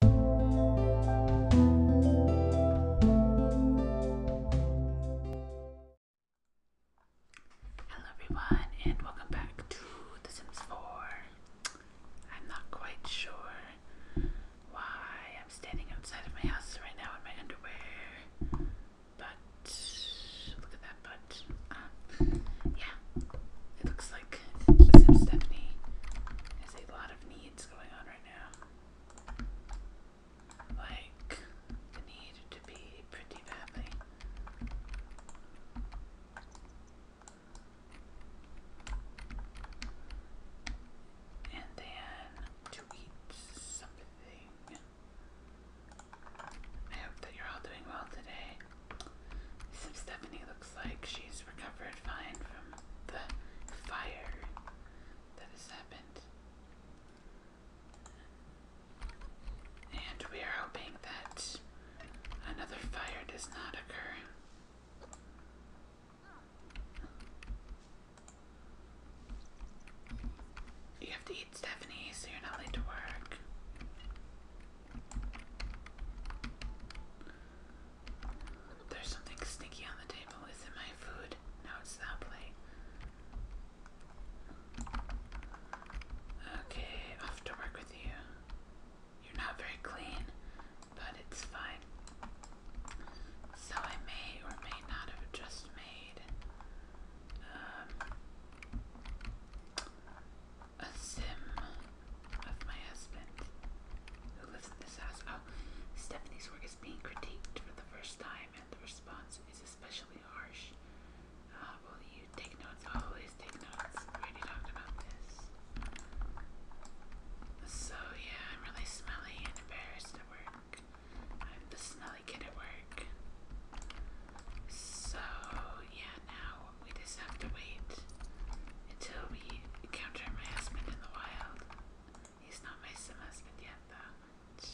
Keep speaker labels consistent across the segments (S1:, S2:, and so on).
S1: Hello everyone and welcome back to The Sims 4. I'm not quite sure why I'm standing outside of my house right now in my underwear, but look at that butt. Ah, yeah, it looks like The Stephanie has a lot of needs going on right now. Like, the need to be pretty badly. And then to something. I hope that you're all doing well today. Stephanie looks like she's recovered fine from the fire that has happened. And we are hoping that another fire does not occur. You have to eat Stephanie so you're not late to work. There's something stinky on the table. Is it my food? No, it's that plate. Okay, off to work with you. You're not very clean, but it's fine. So I may or may not have just made um, a sim of my husband who lives in this house. Oh, Stephanie's work is being critiqued for the first time, and the response is especially harsh. Uh, will you take notes? Oh, Always take notes. already talked about this. So, yeah, I'm really smelly and embarrassed at work. I'm the smelly kid at work. So, yeah, now we just have to wait until we encounter my husband in the wild. He's not my sim yet, though.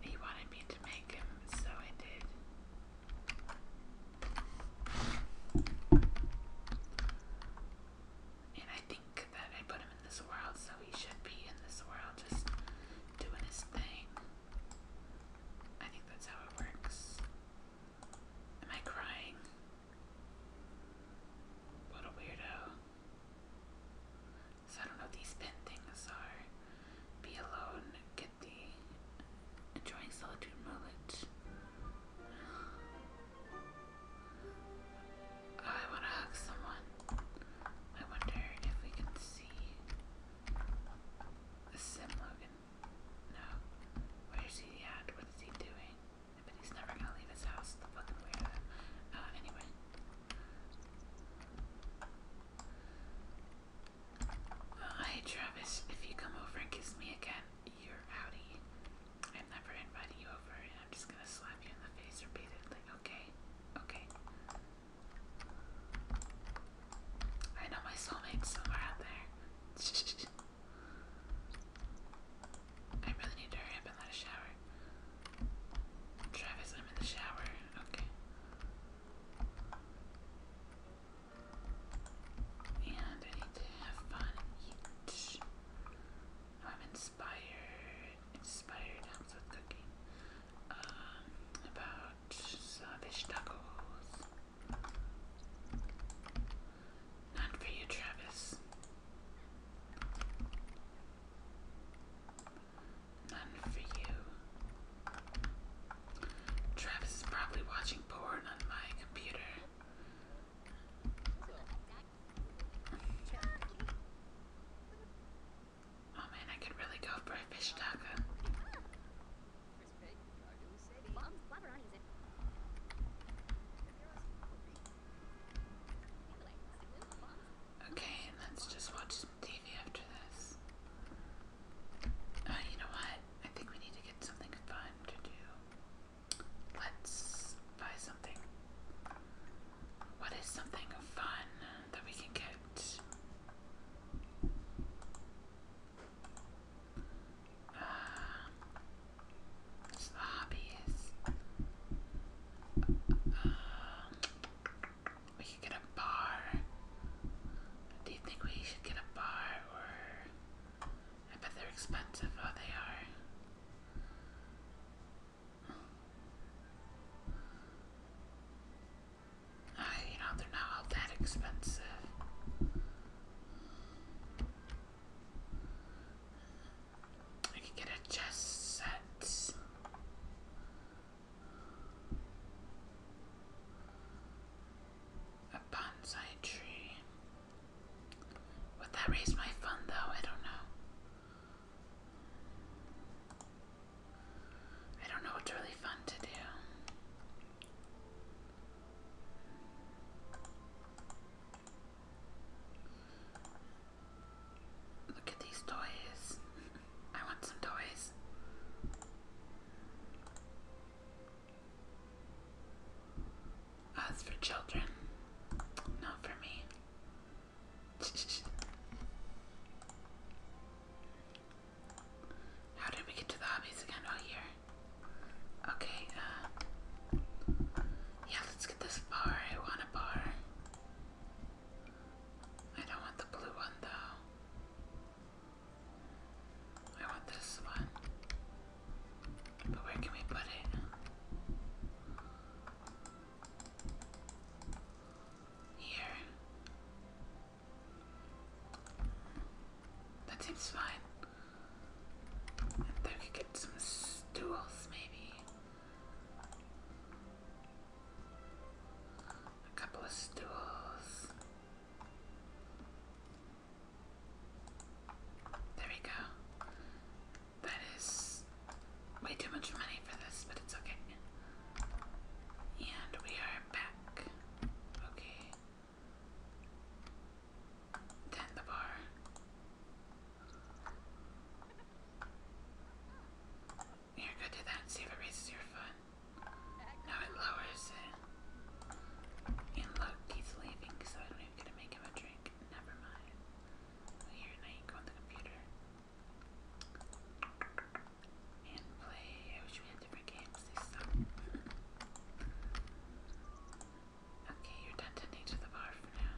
S1: He wanted me to make him, so I did. And I think that I put him in this world, so he should be in this world just doing his thing. I think that's how it works. Am I crying? What a weirdo. So I don't know what these pen things are. Be alone, get the enjoying solitude mullet. Oh, I wanna hug someone. I wonder if we can see Sim Logan. No. Where's he at? What is he doing? Uh, oh, hey Travis, if you come over and kiss me again, you're outie. I'm never inviting you over and I'm just gonna slap you in the face repeatedly. Okay? Okay. I know my soulmate's somewhere out there. I really need to hurry up and let a shower. Travis, I'm in the shower. Okay. And I need to have fun oh, I'm inspired. Inspired helps with cooking. Um, about uh, tacos. Not for you, Travis. None for you. Travis is probably watching porn on my computer. Oh man, I could really go for a fish taco. Okay, let's just watch some TV after this. Uh, you know what? I think we need to get something fun to do. Let's buy something. What is something fun that we can get? Um, hobbies. we could get a bar. Do you think we should get a bar or. I bet they're expensive. Oh, they are. Uh, you know, they're not that expensive. I can get a chess set. A bonsai tree. Would that raise my fun though? I don't know. I don't know what's really fun to do. Look at these toys. I want some toys. As oh, for children, not for me. How did we get to the hobbies again? Oh, here. Okay, uh, yeah, let's get this bar. I want a bar. I don't want the blue one though. I want this one. But where can we put it? Here. That seems fine. I could get some stools, maybe. A couple of stools. There we go. That is way too much money for this, but it's okay. And we are back. Okay. Then the bar you Here, go do that and see if it raises your foot. No, it lowers it. And look, he's leaving, so I don't even get to make him a drink. Never mind. Here, now you go on the computer. And play. I wish we had different games. Okay, you're done tending to the bar for now.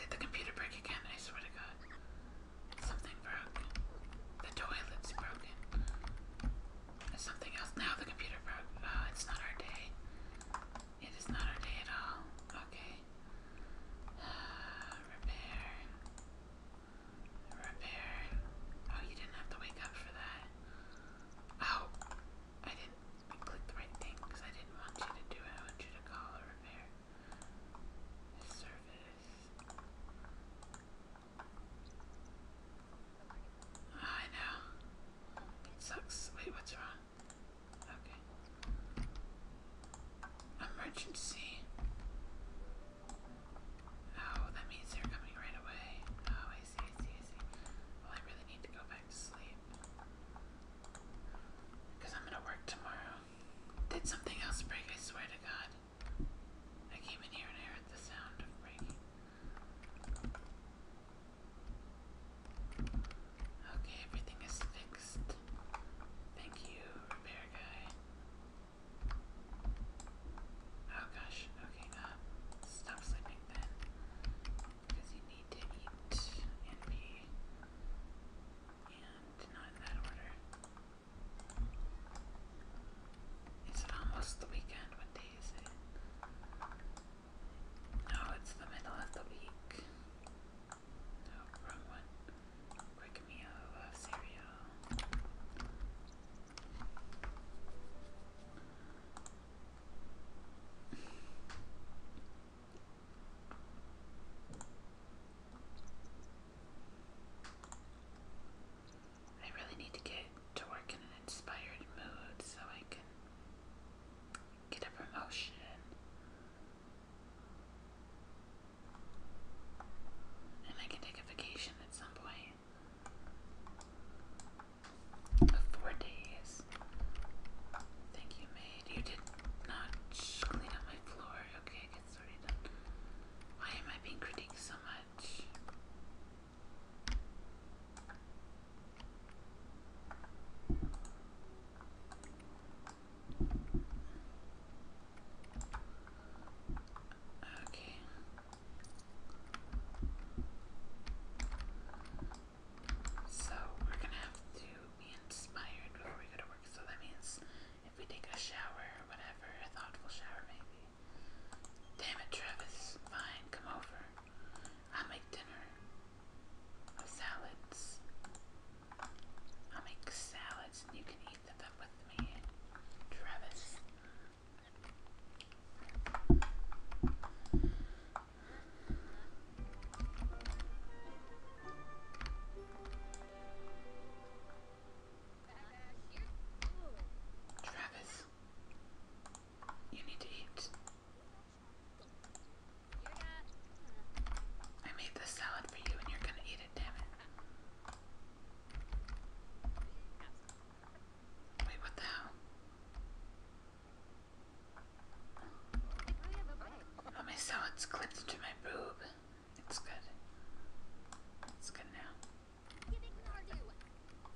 S1: Did the computer break again? I swear to God. Something broke. The toilet's broken. There's something else. Now the computer broke. Oh, it's not our day. It is not our day at all. Okay. repair. Repair. Oh, you didn't have to wake up for that. Oh, I didn't. I clicked the right thing because I didn't want you to do it. I want you to call or repair the service. Oh, I know. It sucks. Wait, what's wrong? Okay. Emergency. Oh, that means they're coming right away. Oh, I see, I see, I see. Well, I really need to go back to sleep. Because I'm gonna work tomorrow. Did something else break, I swear to God. I came in here and I heard the sound of breaking. Okay, everything is fixed. Thank you, repair guy. Oh gosh, okay, uh, stop sleeping then because you need to eat and pee, and not in that order. Is it almost the weekend? What day is it? No, it's the middle of the week. No, wrong one. Quick meal, love cereal. I really need to get to work in an inspired mood so I can get a promotion. And I can take a vacation at some point four days. Thank you, maid. You did not clean up my floor. Okay, it's already done. Why am I being critiqued so much? Okay. So we're gonna have to be inspired before we go to work. So that means if we take a shower or whatever, a thoughtful shower maybe. Damn it, Travis. Fine, come over. I'll make dinner. Or salads. I'll make salads and you can eat them with me, Travis. Travis, you need to eat. I made this salad for you and you're gonna eat it, damn it. Wait, what the hell? Oh, my salad's clip to my boob. It's good. It's good now. Okay,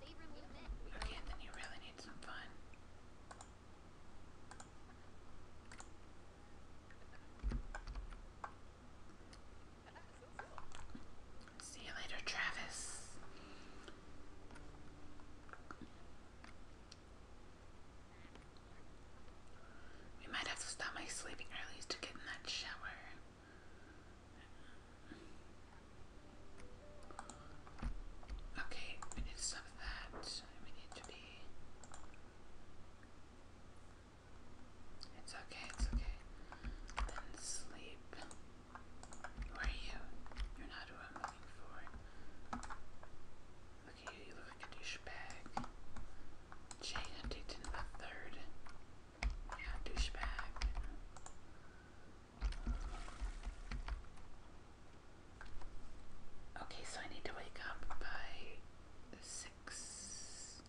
S1: then you really need some fun. See you later, Travis. We might have to stop my sleeping early to get in that shower. Okay, we need to stop that. We need to be. It's okay, it's okay. Then sleep. Where are you? You're not who Look at you, you look like a douchebag. Jay Huntington the third. Yeah, douchebag. Okay, so I need to wake up by six. So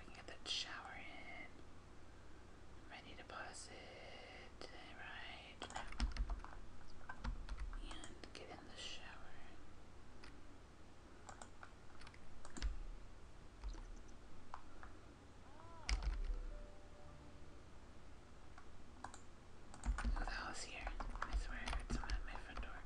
S1: I can get that shower in ready deposit, right and get in the shower. Who oh, the hell is here? I swear it's not at my front door.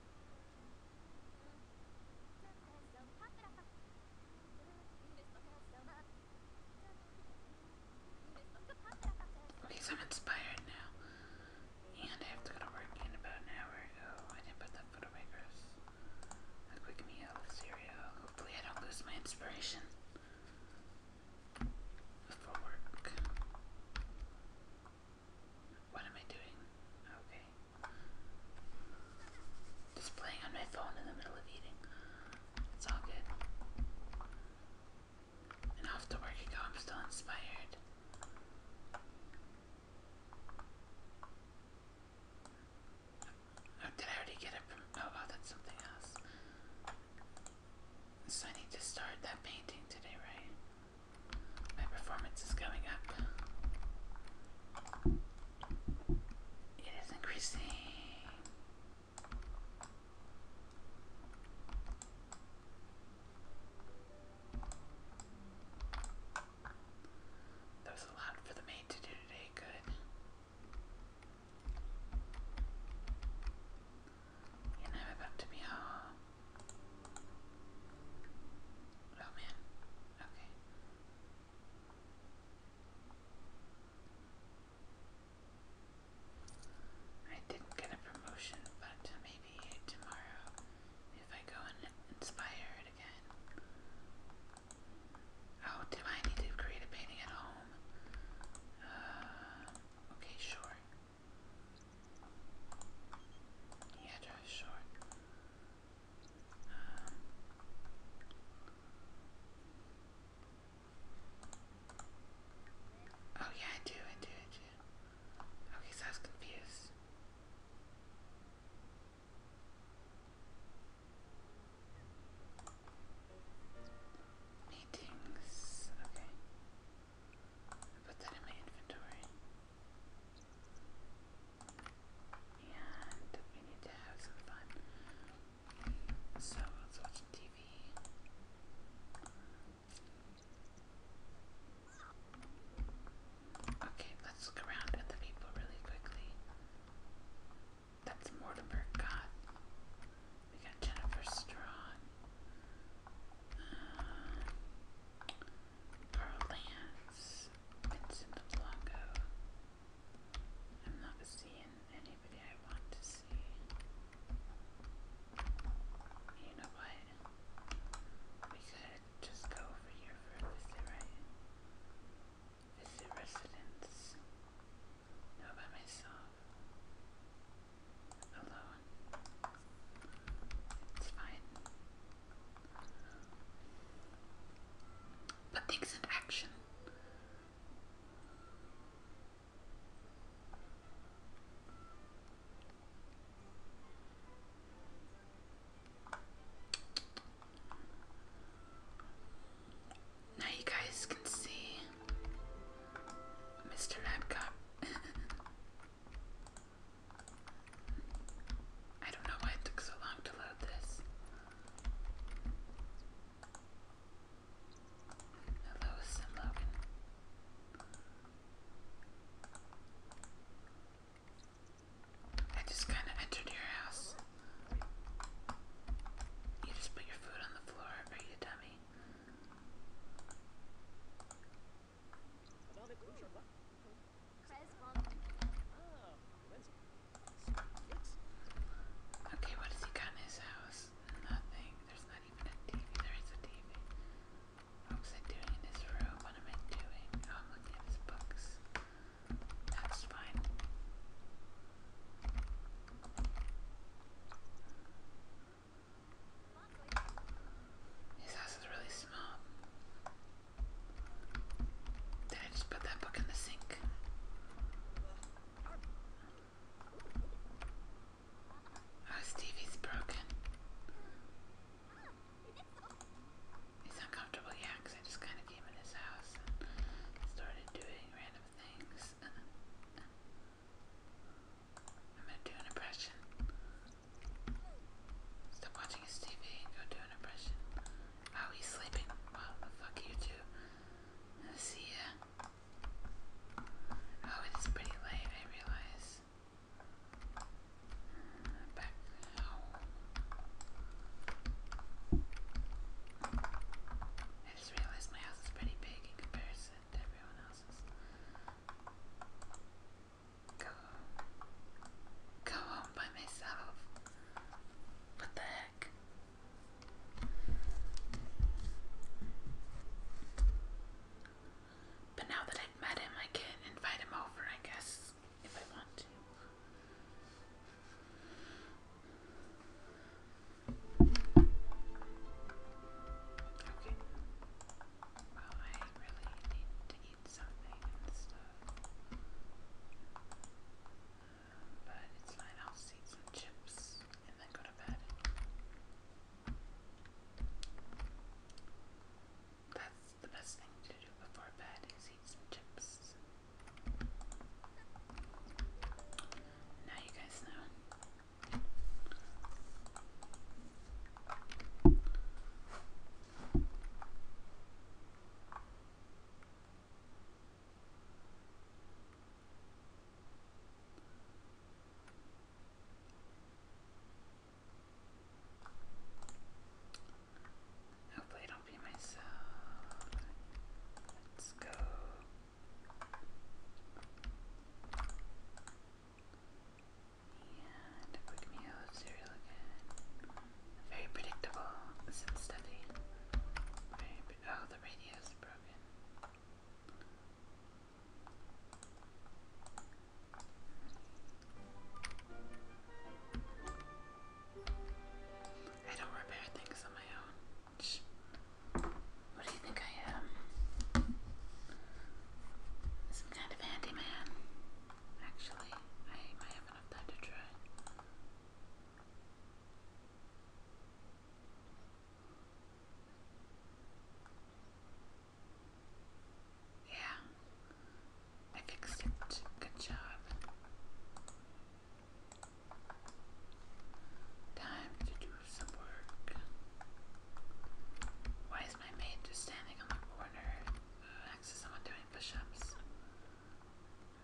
S1: Okay, so I'm inspired now. And I have to go to work in about an hour. Oh, I didn't put that foot away A quick meal cereal. Hopefully I don't lose my inspiration. For work. What am I doing? Okay. Just playing on my phone in the middle of eating. It's all good. And off to work I go, I'm still inspired. Oh, did I already get it Oh, oh, that's something else. So I need to start that painting today, right? My performance is going up. It is increasing. That was a lot for the maid to do today, good. And I'm about to be home. Oh man. Okay. I didn't get a promotion, but maybe tomorrow if I go and inspire again. Oh, do I need to create a painting at home? Uh, okay, sure. Yeah, that is short. oh yeah, I do, I do, I do. Okay, so I was confused. Meetings, okay. put that in my inventory. And we need to have some fun. So let's watch TV. Okay, let's look around at the people really quickly. That's Mortimer Gott. We got Jennifer Strawn. Uh, Berlance, Vincent Blanco. I'm not seeing anybody I want to see. You know what? We could just go over here for a visit, right? Visit residence. No, by myself alone. It's fine. Put things in action. Now you guys can see Mr. Madcap. I don't know why it took so long to load this. Hello, Logan. I just kind of entered your house. You just put your food on the floor, are you dummy? Okay, what does he got in his house? Nothing. There's not even a TV. There is a TV. What's I doing in this room? What am I doing? Oh, I'm looking at his books. That's fine. His house is really small. Did I just put that book in the sink? Oh, Stevie's broken. He's uncomfortable, yeah, I just kind of came in his house and started doing random things. I'm gonna do an impression. Stop watching his TV and go do an impression. Oh, he's sleeping. Well, fuck you two. See ya. Oh, it's pretty late, I realize. Back home. I just realized my house is pretty big in comparison to everyone else's go, go home by myself. What the heck? But now that I've met him, I can invite him over, I guess, if I want Okay. Well, I really need to eat something but it's fine, I'll eat some chips and then go to bed. That's the best thing to do before bed is eat some chips. Now you guys know. Hopefully, I do be myself. Let's go. And a quick meal of cereal Very predictable since study. oh, the radio's broken. I don't repair things on my own. What do you think I am? Some kind of handyman. Actually, I might have enough time to try. Yeah, I fixed it. Good job. Time to do some work. Why is my maid just standing on the corner? Next is someone doing push-ups.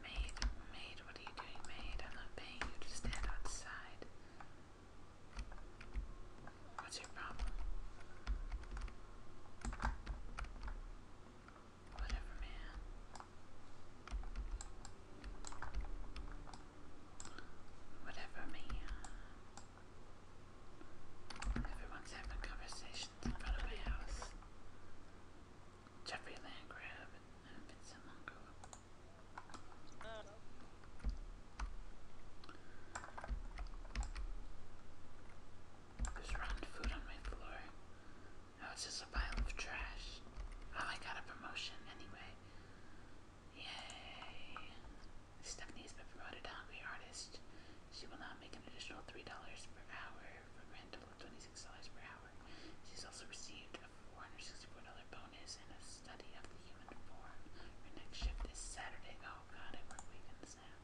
S1: Maid, maid, what are you doing, maid? I'm paying you to stand outside. What's your problem? Whatever, man. Whatever, man. Everyone's having conversations in front of my house. Jeffrey Landgrab and Vincent Mungo. There's rotten food on my floor. Now it's just a pile of trash. Oh, I got a promotion anyway. Yay. Stephanie has been promoted to Hungry Artist. She will now make an additional $3 per hour for a grand total of $26 per hour. She's also received a $464 bonus in a study of the human form. Her next shift is Saturday. Oh god, I work weekends now.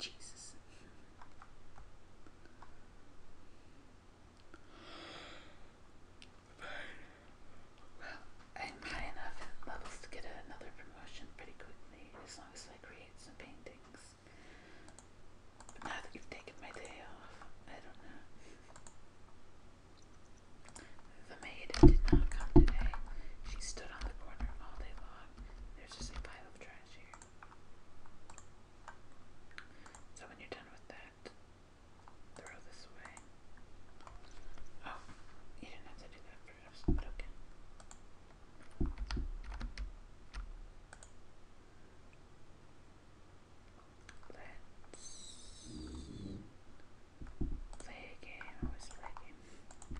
S1: Jesus. Well, I'm high enough levels to get another promotion pretty quick as long as I create some paintings. But now you've taken my day off, I don't know. The maid did not come today. She stood on the corner all day long. There's just a pile of trash here. So when you're done with that, throw this away. Oh, you didn't have to do that Let's play a game. I was play a game.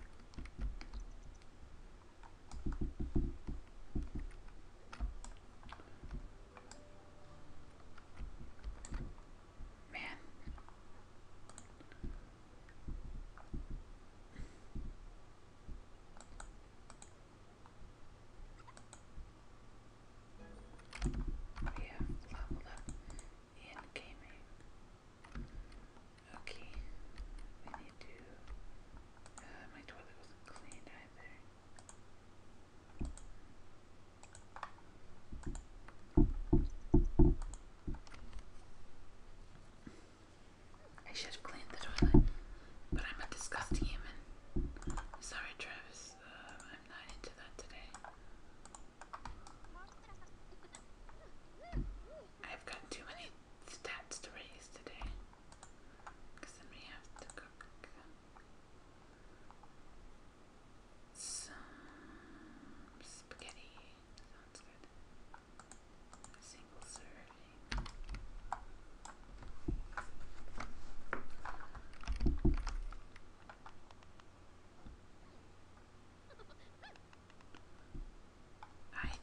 S1: Man, we have leveled up in gaming. Okay, we need to. my toilet wasn't cleaned either. I should have cleaned the toilet, but I'm a disgusting human. Sorry, Travis, uh, I'm not into that today. I've got too many stats to raise today, because then we have to cook some spaghetti. Sounds good. Hi,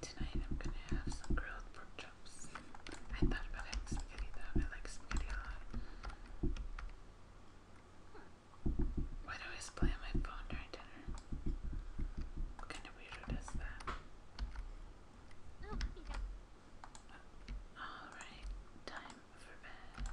S1: tonight I'm gonna have some grilled pork chops. I thought about spaghetti though, I like spaghetti a lot. Why do I always my phone during dinner? Alright, time for bed.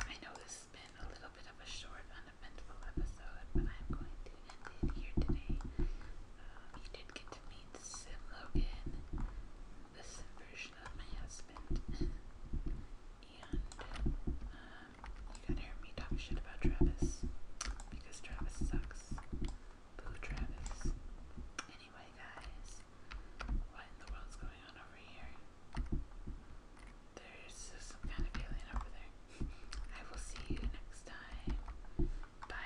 S1: I know this has been a little bit of a short, uneventful episode, but I'm going to end it here today. Uh, did get to meet Sim Logan, this version of my husband. and um, you can hear me talk shit about Travis because Travis sucks. Boo Travis. Anyway, guys, what in the world's going on over here? There's some kind of alien over there. I will see you next time. Bye.